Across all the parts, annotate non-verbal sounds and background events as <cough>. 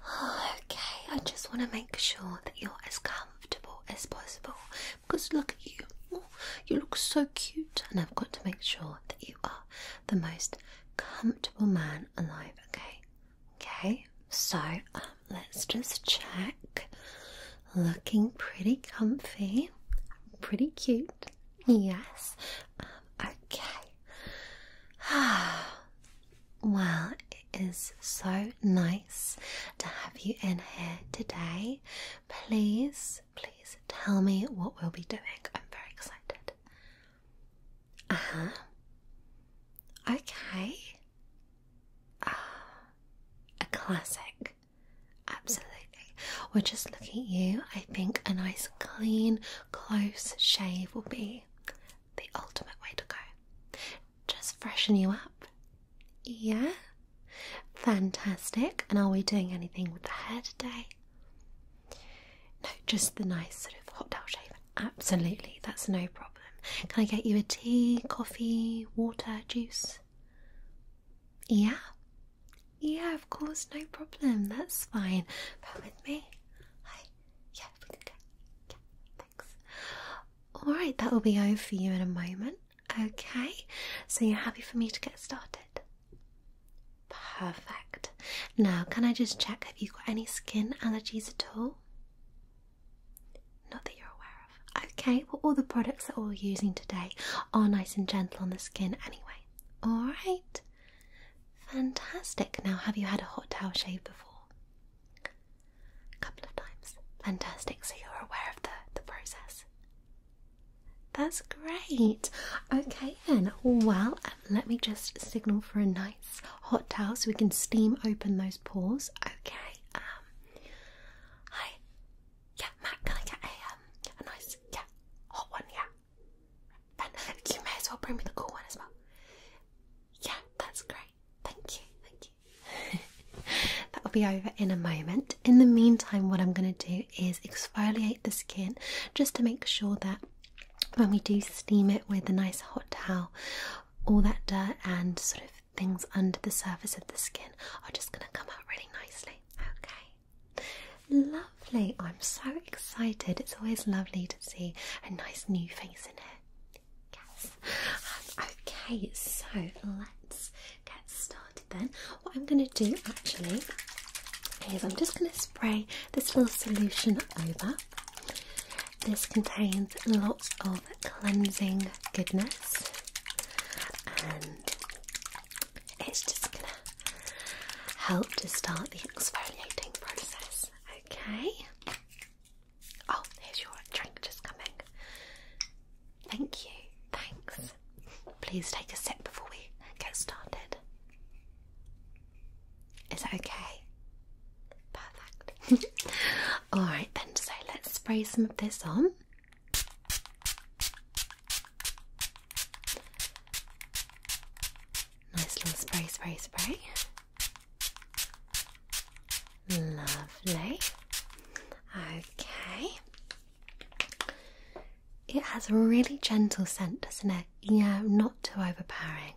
<sighs> okay, I just want to make sure that you're as comfortable as possible because look at you. you look so cute, and I've got to make sure that you are the most comfortable man alive, okay? Okay, so um, let's just check. Looking pretty comfy, pretty cute, yes. Um, okay, <sighs> well, it is so nice to have you in here today. Please, please tell me what we'll be doing. I'm very excited. Uh huh. Okay. Uh, a classic. Absolutely. We're just looking at you. I think a nice, clean, close shave will be the ultimate way to go. Just freshen you up. Yeah? Fantastic. And are we doing anything with the hair today? No, just the nice sort of hot towel shave. Absolutely, that's no problem. Can I get you a tea, coffee, water, juice? Yeah? Yeah, of course, no problem. That's fine. Bear with me. Hi yeah, we Yeah, thanks. Alright, that will be over for you in a moment. Okay, so you're happy for me to get started? Perfect. Now, can I just check have you got any skin allergies at all? Not that you're aware of. Okay, well, all the products that we're using today are nice and gentle on the skin anyway. Alright, Fantastic. Now, have you had a hot towel shave before? A couple of times. Fantastic. So you're aware of the, the process. That's great. Okay, then. Well, let me just signal for a nice hot towel so we can steam open those pores. Okay. Um. Hi. Yeah, Matt. Can I get a um, a nice yeah hot one? Yeah you may as well bring me the cool one as well. Yeah, that's great. Thank you, thank you. <laughs> That'll be over in a moment. In the meantime, what I'm going to do is exfoliate the skin just to make sure that when we do steam it with a nice hot towel, all that dirt and sort of things under the surface of the skin are just going to come out really nicely. Okay, lovely. I'm so excited. It's always lovely to see a nice new face in here. Yes. Um, okay, so let's get started then. What I'm going to do actually is I'm just going to spray this little solution over. This contains lots of cleansing goodness and it's just going to help to start the exfoliating process. Okay. Oh, here's your drink just coming. Thank you. Thanks. Please take a sip before we get started. Is that okay? Perfect. <laughs> Alright then, so let's spray some of this on. Nice little spray, spray, spray. Lovely. Okay. It has a really gentle scent, doesn't it? Yeah, not too overpowering.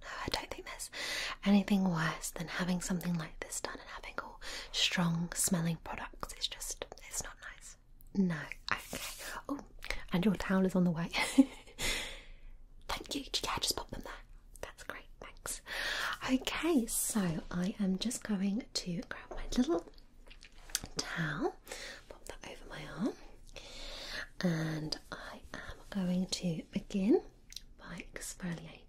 No, I don't think there's anything worse than having something like this done and having all strong smelling products. It's just, it's not nice. No, okay. Oh, and your towel is on the way. <laughs> Thank you. Yeah, just pop them there. That's great. Thanks. Okay, so I am just going to grab my little towel, pop that over my arm, and I am going to begin by exfoliating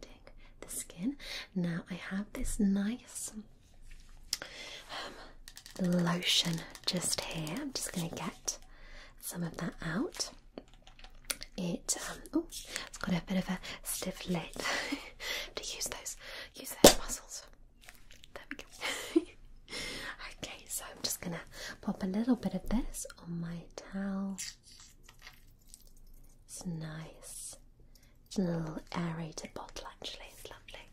the skin. Now I have this nice um, lotion just here. I'm just going to get some of that out. It oh, it's got a bit of a stiff lid. <laughs> to use those, use those muscles. There we go. <laughs> okay, so I'm just gonna pop a little bit of this on my towel. It's nice. It's a little aerated bottle actually. It's lovely.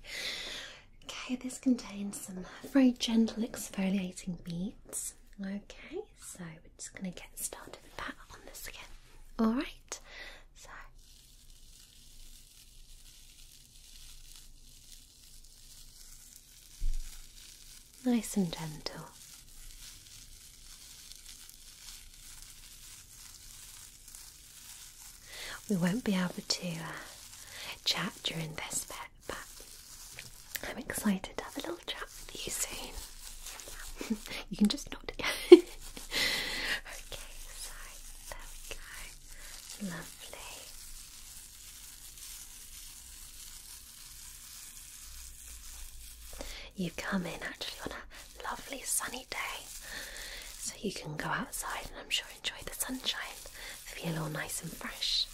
Okay, this contains some very gentle exfoliating beads. Okay, so we're just going to get started with that on the skin. Alright, so. Nice and gentle. We won't be able to uh, chat during this bit I'm excited to have a little chat with you soon. <laughs> you can just nod. <laughs> okay, so there we go. Lovely. You've come in actually on a lovely sunny day, so you can go outside and I'm sure enjoy the sunshine, feel all nice and fresh.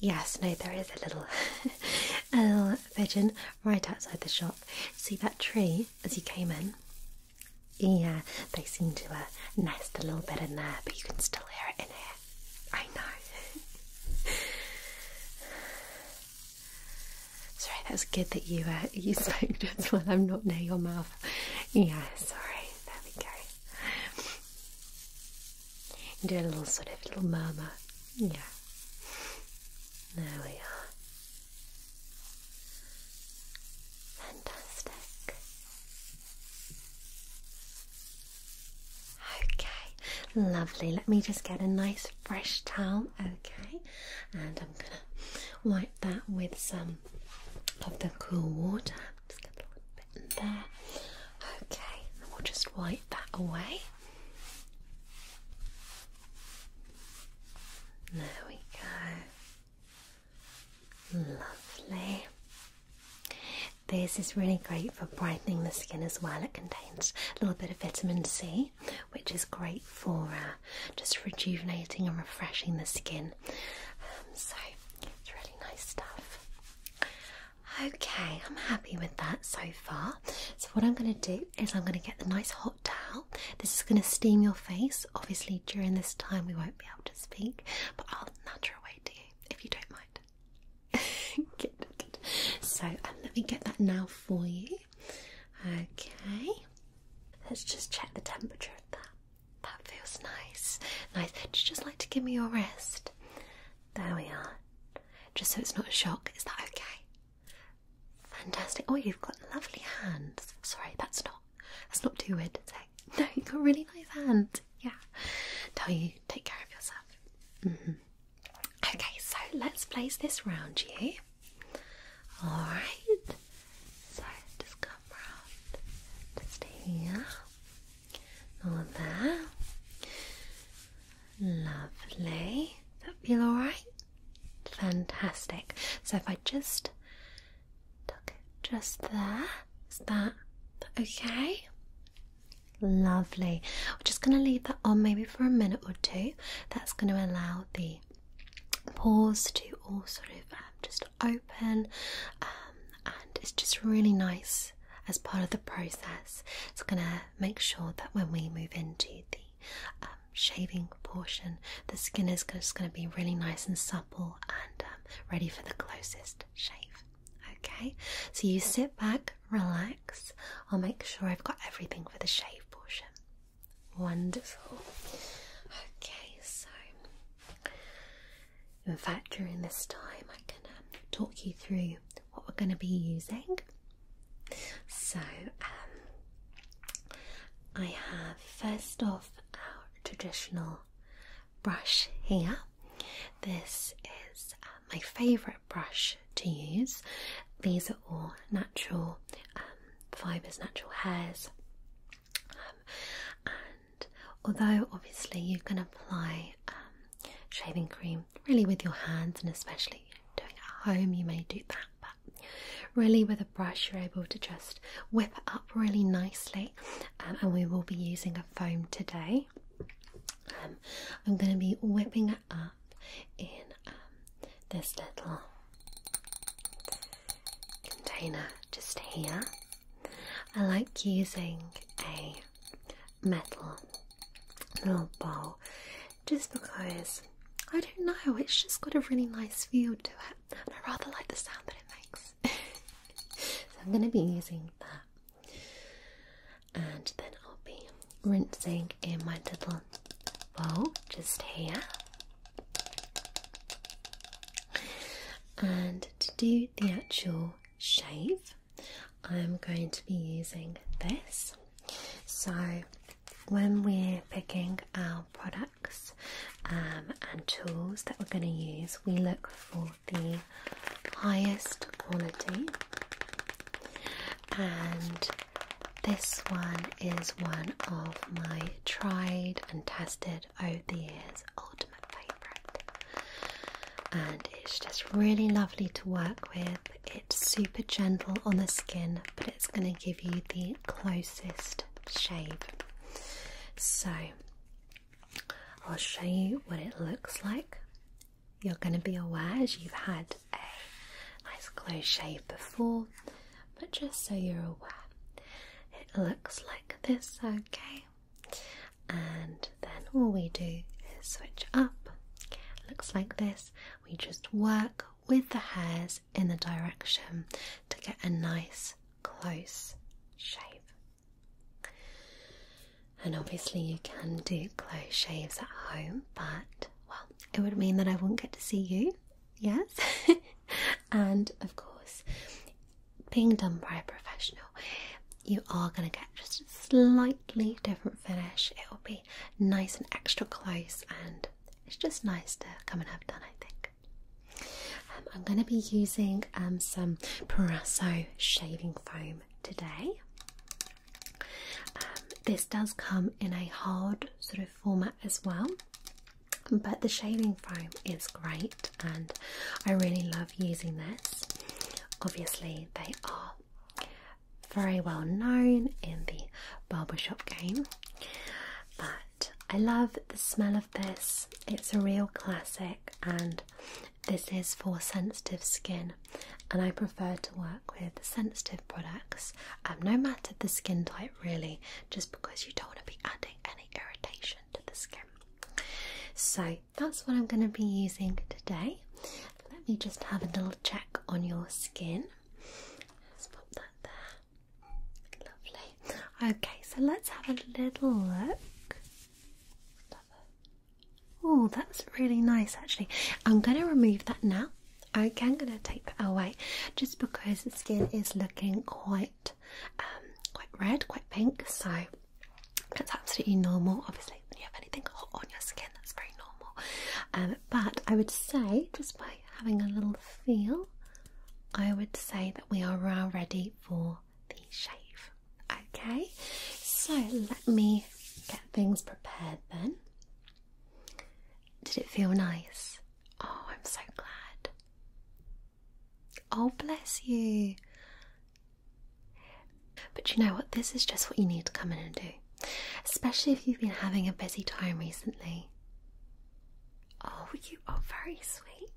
Yes, no, there is a little, <laughs> a little pigeon right outside the shop. See that tree as you came in? Yeah, they seem to uh, nest a little bit in there, but you can still hear it in here. I know. <laughs> sorry, that's good that you are uh, you <laughs> spoke just when I'm not near your mouth. Yeah, sorry there we go. And do a little sort of little murmur. Yeah. There we are. Fantastic. Okay, lovely. Let me just get a nice fresh towel, okay? And I'm gonna wipe that with some of the cool water. Just get a little bit in there. Okay, we'll just wipe that away. There we go. Lovely. This is really great for brightening the skin as well. It contains a little bit of vitamin C, which is great for uh, just rejuvenating and refreshing the skin um, so it's really nice stuff. Okay, I'm happy with that so far. So what I'm going to do is I'm going to get the nice hot towel. This is going to steam your face. Obviously, during this time we won't be able to speak, but I'll nudge her away if you don't mind. <laughs> So um, let me get that now for you. Okay, let's just check the temperature of that. That feels nice. Nice. Would you just like to give me your wrist? There we are. Just so it's not a shock. Is that okay? Fantastic. Oh, you've got lovely hands. Sorry, that's not. That's not too weird <laughs> No, you've got really nice hands. Yeah. Tell you, take care of yourself. Mm-hmm. Okay, so let's place this round you. Alright. So just go just here. All there. Lovely. that feel alright? Fantastic. So if I just tuck it just there, is that okay? Lovely. We're just going to leave that on maybe for a minute or two. That's going to allow the pores to all sort of um, just open, um, and it's just really nice as part of the process. It's gonna make sure that when we move into the um, shaving portion, the skin is just gonna be really nice and supple and ready for the closest shave. Okay, so you sit back, relax. I'll make sure I've got everything for the shave portion. Wonderful. Okay, so in fact, during this time, I can um, talk you through what we're going to be using. So, um, I have first off our traditional brush here. This is uh, my favourite brush to use. These are all natural um, fibres, natural hairs, um, and although obviously you can apply um, shaving cream really with your hands, and especially doing it at home, you may do that. But really, with a brush, you're able to just whip it up really nicely. Um, and we will be using a foam today. I'm going to be whipping it up in this little container just here. I like using a metal little bowl just because I don't know, it's just got a really nice feel to it, and I rather like the sound that it makes. <laughs> so I'm going to be using that, and then I'll be rinsing in my little bowl just here. And to do the actual shave, I'm going to be using this. So, when we're picking our products um, and tools that we're going to use, we look for the highest quality and this one is one of my tried and tested over oh the years ultimate favourite, and it's just really lovely to work with. It's super gentle on the skin, but it's going to give you the closest shave. So I'll show you what it looks like. You're going to be aware as you've had a nice close shave before but just so you're aware, it looks like this, okay? And then all we do is switch up. Looks like this. We just work with the hairs in the direction to get a nice close shape. And obviously, you can do close shaves at home, but well, it would mean that I wouldn't get to see you, yes? <laughs> and of course, being done by a professional, you are going to get just a slightly different finish. It will be nice and extra close, and it's just nice to come and have done, I think. Um, I'm going to be using um, some Parasso shaving foam today. Um, this does come in a hard sort of format as well but the shaving foam is great and I really love using this. Obviously, they are very well known in the barbershop game, but I love the smell of this. It's a real classic, and this is for sensitive skin. And I prefer to work with sensitive products, um, no matter the skin type, really, just because you don't want to be adding any irritation to the skin. So that's what I'm going to be using today. Let me just have a little check on your skin. Let's pop that there. Lovely. Okay, so let's have a little look. Oh, that's really nice actually. I'm going to remove that now Okay, I'm gonna take it away just because the skin is looking quite, um, quite red, quite pink. So that's absolutely normal. Obviously, when you have anything hot on your skin, that's very normal. Um, but I would say, just by having a little feel, I would say that we are now ready for the shave. Okay, so let me get things prepared then. Did it feel nice? Oh, I'm so glad. Oh, bless you. But you know what? This is just what you need to come in and do, especially if you've been having a busy time recently. Oh, you are very sweet.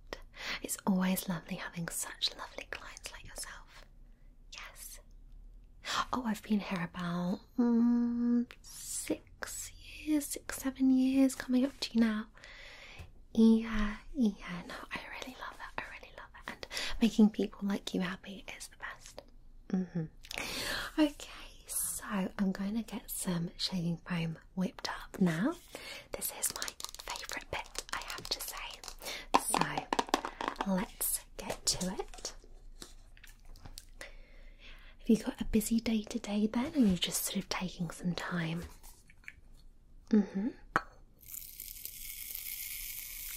It's always lovely having such lovely clients like yourself. Yes. Oh, I've been here about six mm, six years, six, seven years coming up to you now. Yeah, yeah, no, I really love it. I really love it. And making people like you happy is the best. Mm-hmm. Okay, so I'm going to get some shaving foam whipped up now. This is my favourite bit, I have to say. So let's get to it. Have you got a busy day today then, or are just sort of taking some time? Mm hmm.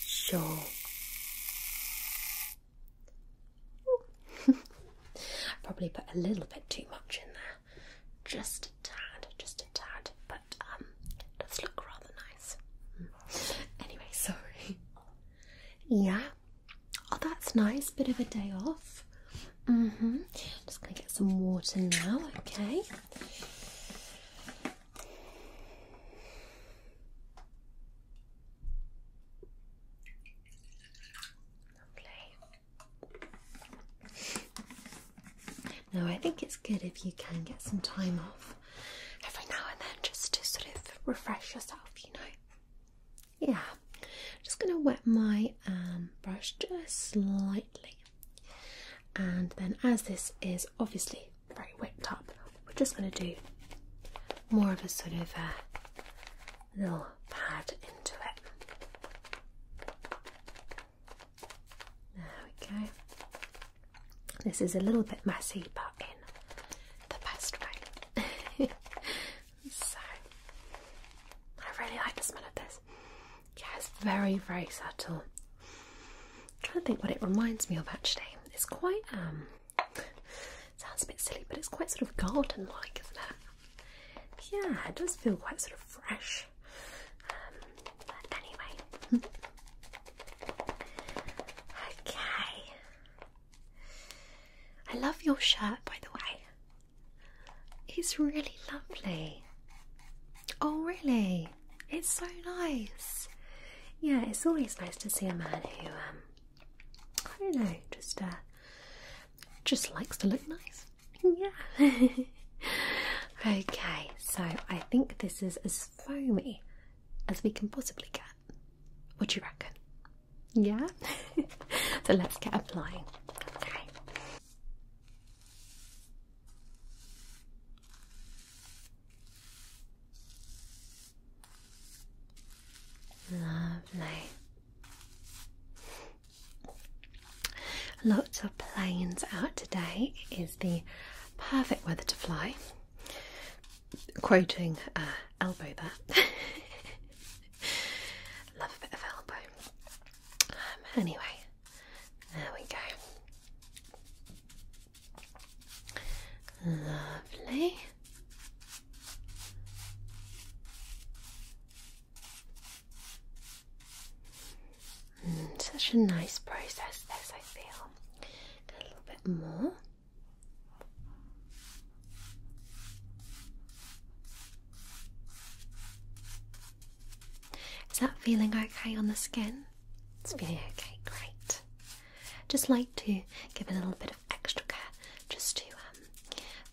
Sure. <laughs> Probably put a little bit too much in there. Just a tad, just a tad, but um, does look rather nice. Mm. Anyway, sorry. <laughs> Yeah, Oh, that's nice. Bit of a day off. Mm hmm. just going to get some water now, okay? Lovely. Now, I think it's good if you can get some time off every now and then just to sort of refresh yourself, you know. Yeah, just going to wet my um, brush just slightly, and then as this is obviously very wet top, we're just going to do more of a sort of a uh, little pad into it. There we go. This is a little bit messy, but in the best way. <laughs> So I really like the smell of this. Yeah, it's very, very subtle. trying to think what it reminds me of actually. It's quite um sounds a bit silly, but it's quite sort of garden like, isn't it? Yeah, it does feel quite sort of fresh. Um, but anyway. <laughs> okay. I love your shirt, by the way. It's really lovely. Oh, really? It's so nice. Yeah, it's always nice to see a man who, um, I don't know, just uh, just likes to look nice. <laughs> Yeah. okay, so I think this is as foamy as we can possibly get. What do you reckon? Yeah? <laughs> so let's get flying. Okay. Lovely. Lots of planes out today is the perfect weather to fly quoting uh, elbow that <laughs> Love a bit of elbow. Um, anyway, there we go. Lovely. Mm, such a nice process, this I feel. A little bit more. Is that feeling okay on the skin? It's feeling okay, great. Just like to give a little bit of extra care just to um,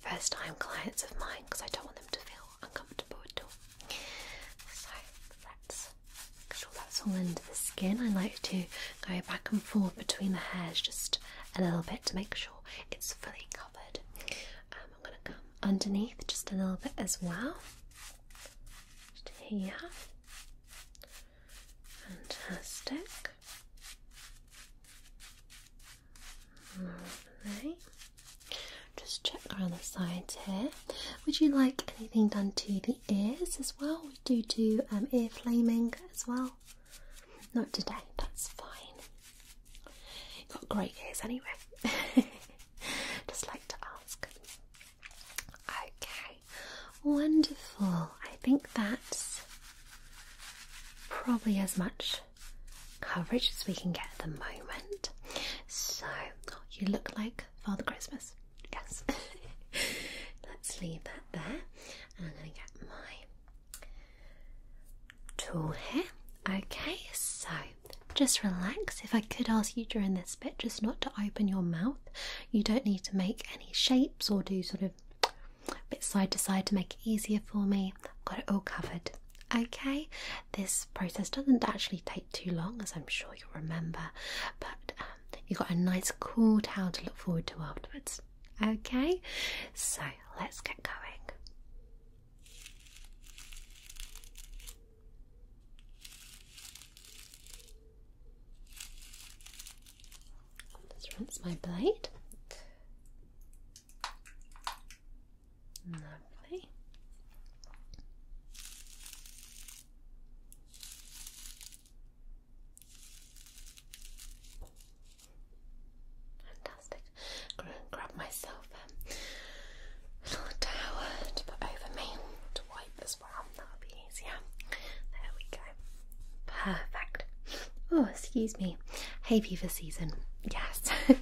first time clients of mine because I don't want them to feel uncomfortable at all. So let's make sure that's all into the skin. I like to go back and forth between the hairs just a little bit to make sure it's fully covered. Um, I'm going to come underneath just a little bit as well. Just here. Fantastic. Lovely. Just check around the sides here. Would you like anything done to the ears as well? We do do um, ear flaming as well. Not today, that's fine. got great ears anyway. <laughs> Just like to ask. Okay, wonderful. I think that's probably as much coverage as we can get at the moment. So, you look like Father Christmas. Yes. <laughs> Let's leave that there. I'm going to get my tool here. Okay, so just relax. If I could ask you during this bit just not to open your mouth, you don't need to make any shapes or do sort of a bit side to side to make it easier for me. got it all covered. Okay, this process doesn't actually take too long, as I'm sure you'll remember, but um, you've got a nice cool towel to look forward to afterwards. Okay, so let's get going. Just rinse my blade. Lovely. Fantastic. grab myself a little towel to put over me to wipe as well. That'll be easier. There we go. Perfect. Oh, excuse me. Hey, fever season. Yes. <laughs> okay.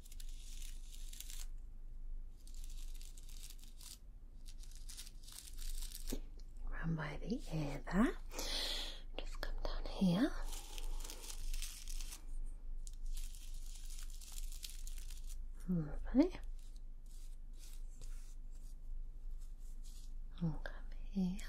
Run by the ear Just come down here. Lovely. And come here.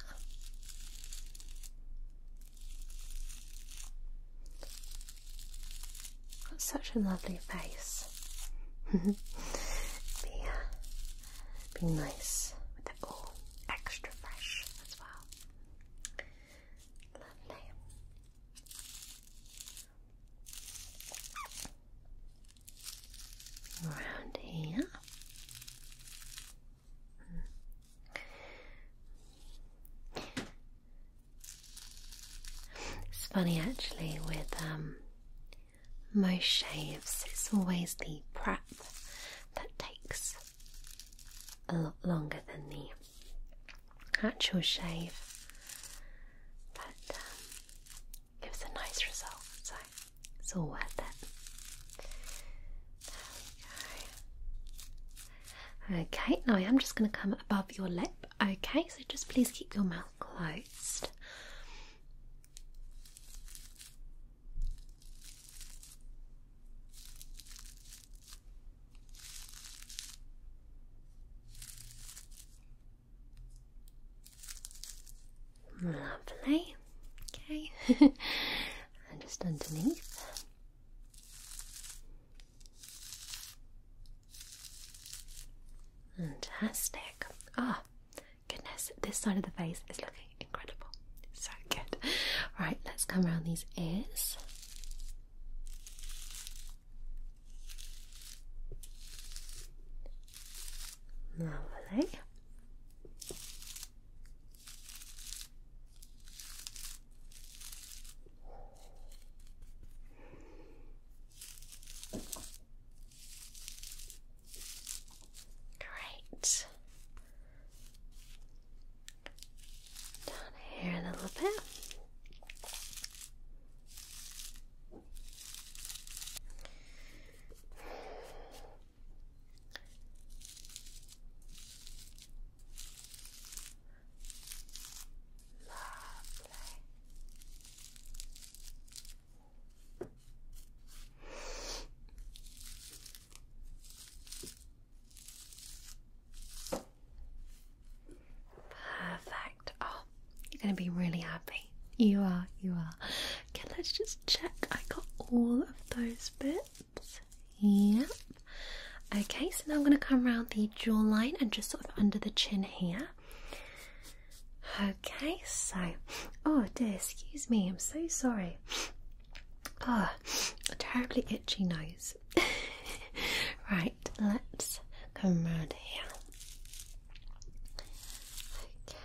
Got such a lovely face. <laughs> be, uh, be nice with it all extra fresh as well. Lovely. Around here. It's funny actually with um, most shaves, it's always the prep that takes a lot longer than the actual shave, but um, gives a nice result, so it's all worth it. Okay, now I am just going to come above your lip. Okay, so just please keep your mouth closed. Lovely. Okay. <laughs> and just underneath. Fantastic. Ah, oh, goodness, this side of the face is looking incredible. So good. Right, let's come around these ears. Lovely. Great. Down here a little bit. Perfect. Oh, you're going to be really happy. You are, you are. Okay, let's just check. I got all of those bits crisps. Okay, so now I'm going to come around the jawline and just sort of under the chin here. Okay, so. Oh dear, excuse me, I'm so sorry. Oh, a terribly itchy nose. <laughs> right, let's come around here. Okay.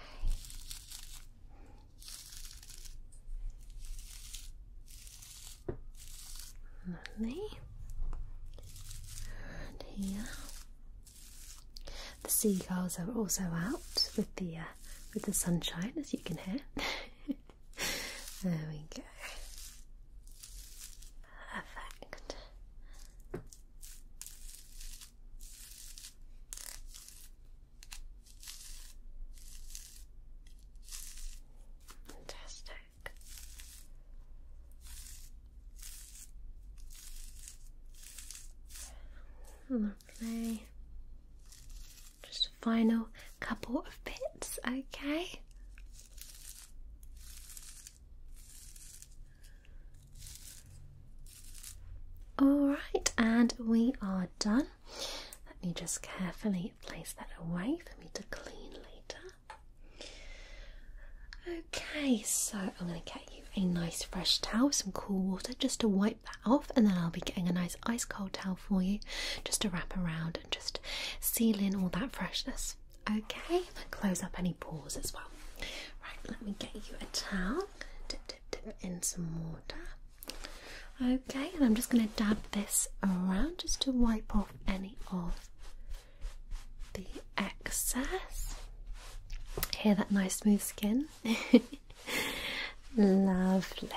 Lovely. And here, the seagulls are also out with the uh, with the sunshine, as you can hear. <laughs> there we go. Perfect. Fantastic. Lovely. Just a final couple of bits, okay? Alright, and we are done. Let me just carefully place that away for me to clean later. Okay, so I'm going to get you a nice fresh towel, some cool water just to wipe that off, and then I'll be getting a nice ice cold towel for you just to wrap around and just seal in all that freshness. Okay, close up any pores as well. Right, let me get you a towel. Dip, dip, dip in some water. Okay, and I'm just going to dab this around just to wipe off any of the excess. Hear that nice smooth skin? <laughs> Lovely.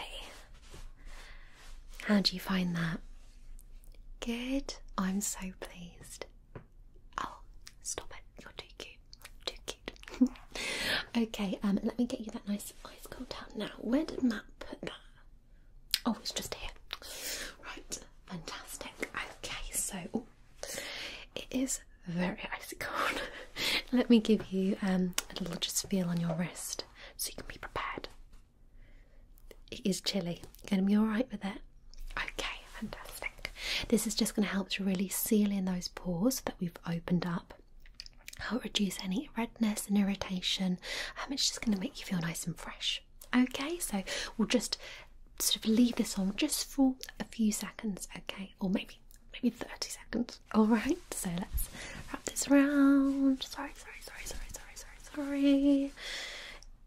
How do you find that? Good. I'm so pleased. Oh, stop it. You're too cute. Too cute. <laughs> okay, um, let me get you that nice ice cold towel now. Where did Matt put that? Oh, it's just here. Right, fantastic. Okay, so it is very icy cold. <laughs> let me give you um, a little just feel on your wrist so you can be prepared. It is chilly. Gonna be alright with it? Okay, fantastic. This is just going to help to really seal in those pores that we've opened up I'll oh, reduce any redness and irritation. Um, it's just going to make you feel nice and fresh. Okay, so we'll just sort of leave this on just for a few seconds, okay, or maybe maybe 30 seconds. All right, so let's wrap this around. Sorry, sorry, sorry, sorry, sorry, sorry, sorry.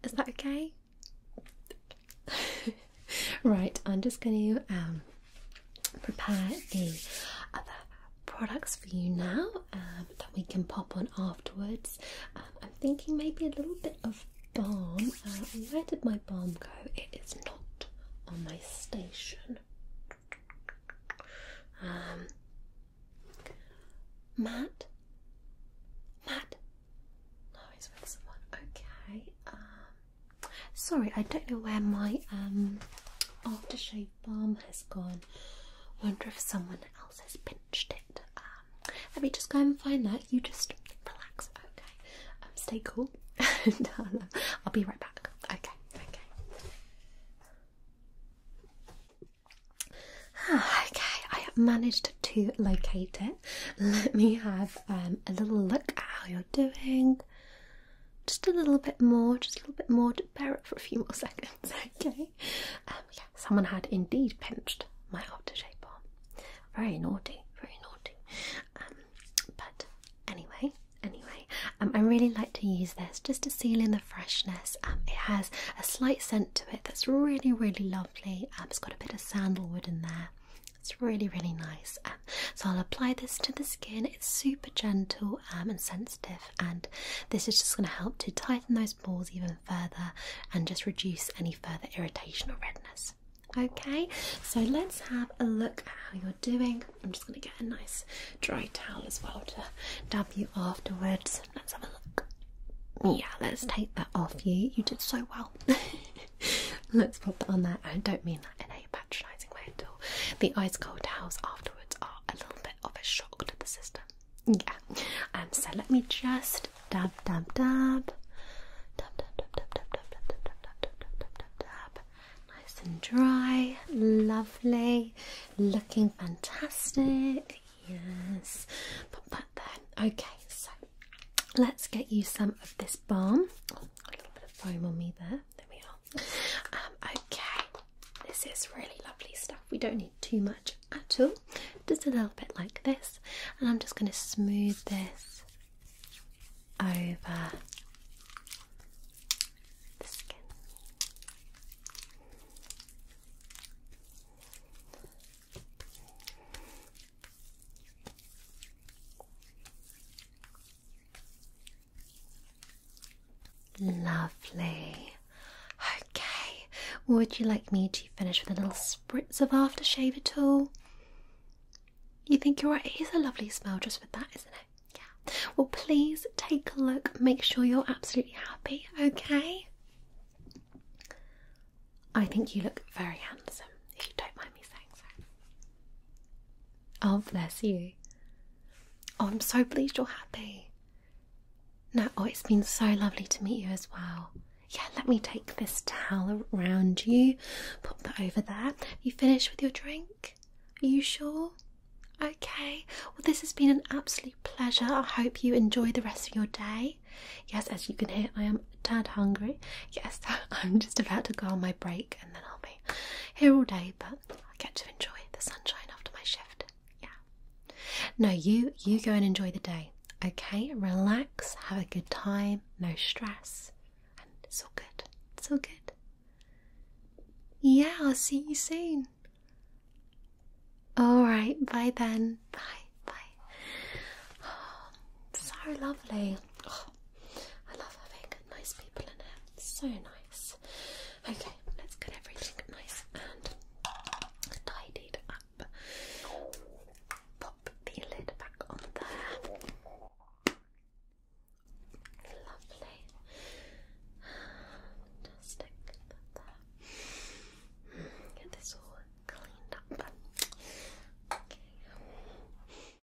Is that okay? <laughs> right, I'm just going to um, prepare the other products for you now um, that we can pop on afterwards. Um, I'm thinking maybe a little bit of balm. Uh, where did my balm go? It is not on my station. Um, Matt? Matt? No, he's with someone. Okay. Sorry, I don't know where my um aftershave balm has gone. Wonder if someone else has pinched it. Um, let me just go and find that. You just relax, okay? Um, stay cool, <laughs> um, I'll, be right back. Okay, okay. Ah, okay. I managed to locate it. Let me have um, a little look at how you're doing just a little bit more, just a little bit more. To bear it for a few more <laughs> seconds, okay? Um, yeah, someone had indeed pinched my outer shape arm. Very naughty, very naughty. Um, but anyway, anyway, um, I really like to use this just to seal in the freshness. it has a slight scent to it that's really, really lovely. it's got a bit of sandalwood in there. It's really, really nice. so I'll apply this to the skin it's super gentle um, and sensitive, and this is just going to help to tighten those pores even further and just reduce any further irritation or redness. Okay, so let's have a look at how you're doing. I'm just going to get a nice dry towel as well to dab you afterwards. Let's have a look. Yeah, let's take that off you. You did so well. <laughs> let's pop that on there. I don't mean that in a patronising way at all. The ice cold towels afterwards are a little bit of a shock to the system. Yeah. Um. So let me just dab, dab, dab, dab, dab, dab, dab, dab, dab, dab, dab, dab, dab, dab, dab, dab. Nice and dry, lovely, looking fantastic. Yes. Put that there. Okay. So let's get you some of this balm. Oh, a little bit of foam on me there. There we um, okay, this is really lovely stuff. We don't need too much at all, just a little bit like this, and I'm just going to smooth this over the skin. Lovely. Okay, would you like me to finish with a little spritz of aftershave at all? You think you're right? It is a lovely smell just with that, isn't it? Yeah. Well, please take a look. Make sure you're absolutely happy, okay? I think you look very handsome, if you don't mind me saying so. Oh, bless you. Oh, I'm so pleased you're happy. No, oh, it's been so lovely to meet you as well. Yeah, let me take this towel around you, Put that over there. you finished with your drink? Are you sure? Okay, well, this has been an absolute pleasure. I hope you enjoy the rest of your day. Yes, as you can hear, I am a tad hungry. Yes, <laughs> I'm just about to go on my break and then I'll be here all day, but I get to enjoy the sunshine after my shift. Yeah. No, you you go and enjoy the day. Okay, relax, have a good time, no stress, and it's all good. It's all good. Yeah, I'll see you soon. All right, bye then. Bye, bye. <sighs> so lovely. <sighs> Oh. I love having nice people in here. so nice. Okay, let's get everything nice and tidied up. Pop the lid back on there. Lovely. Fantastic. Get this all cleaned up. Okay.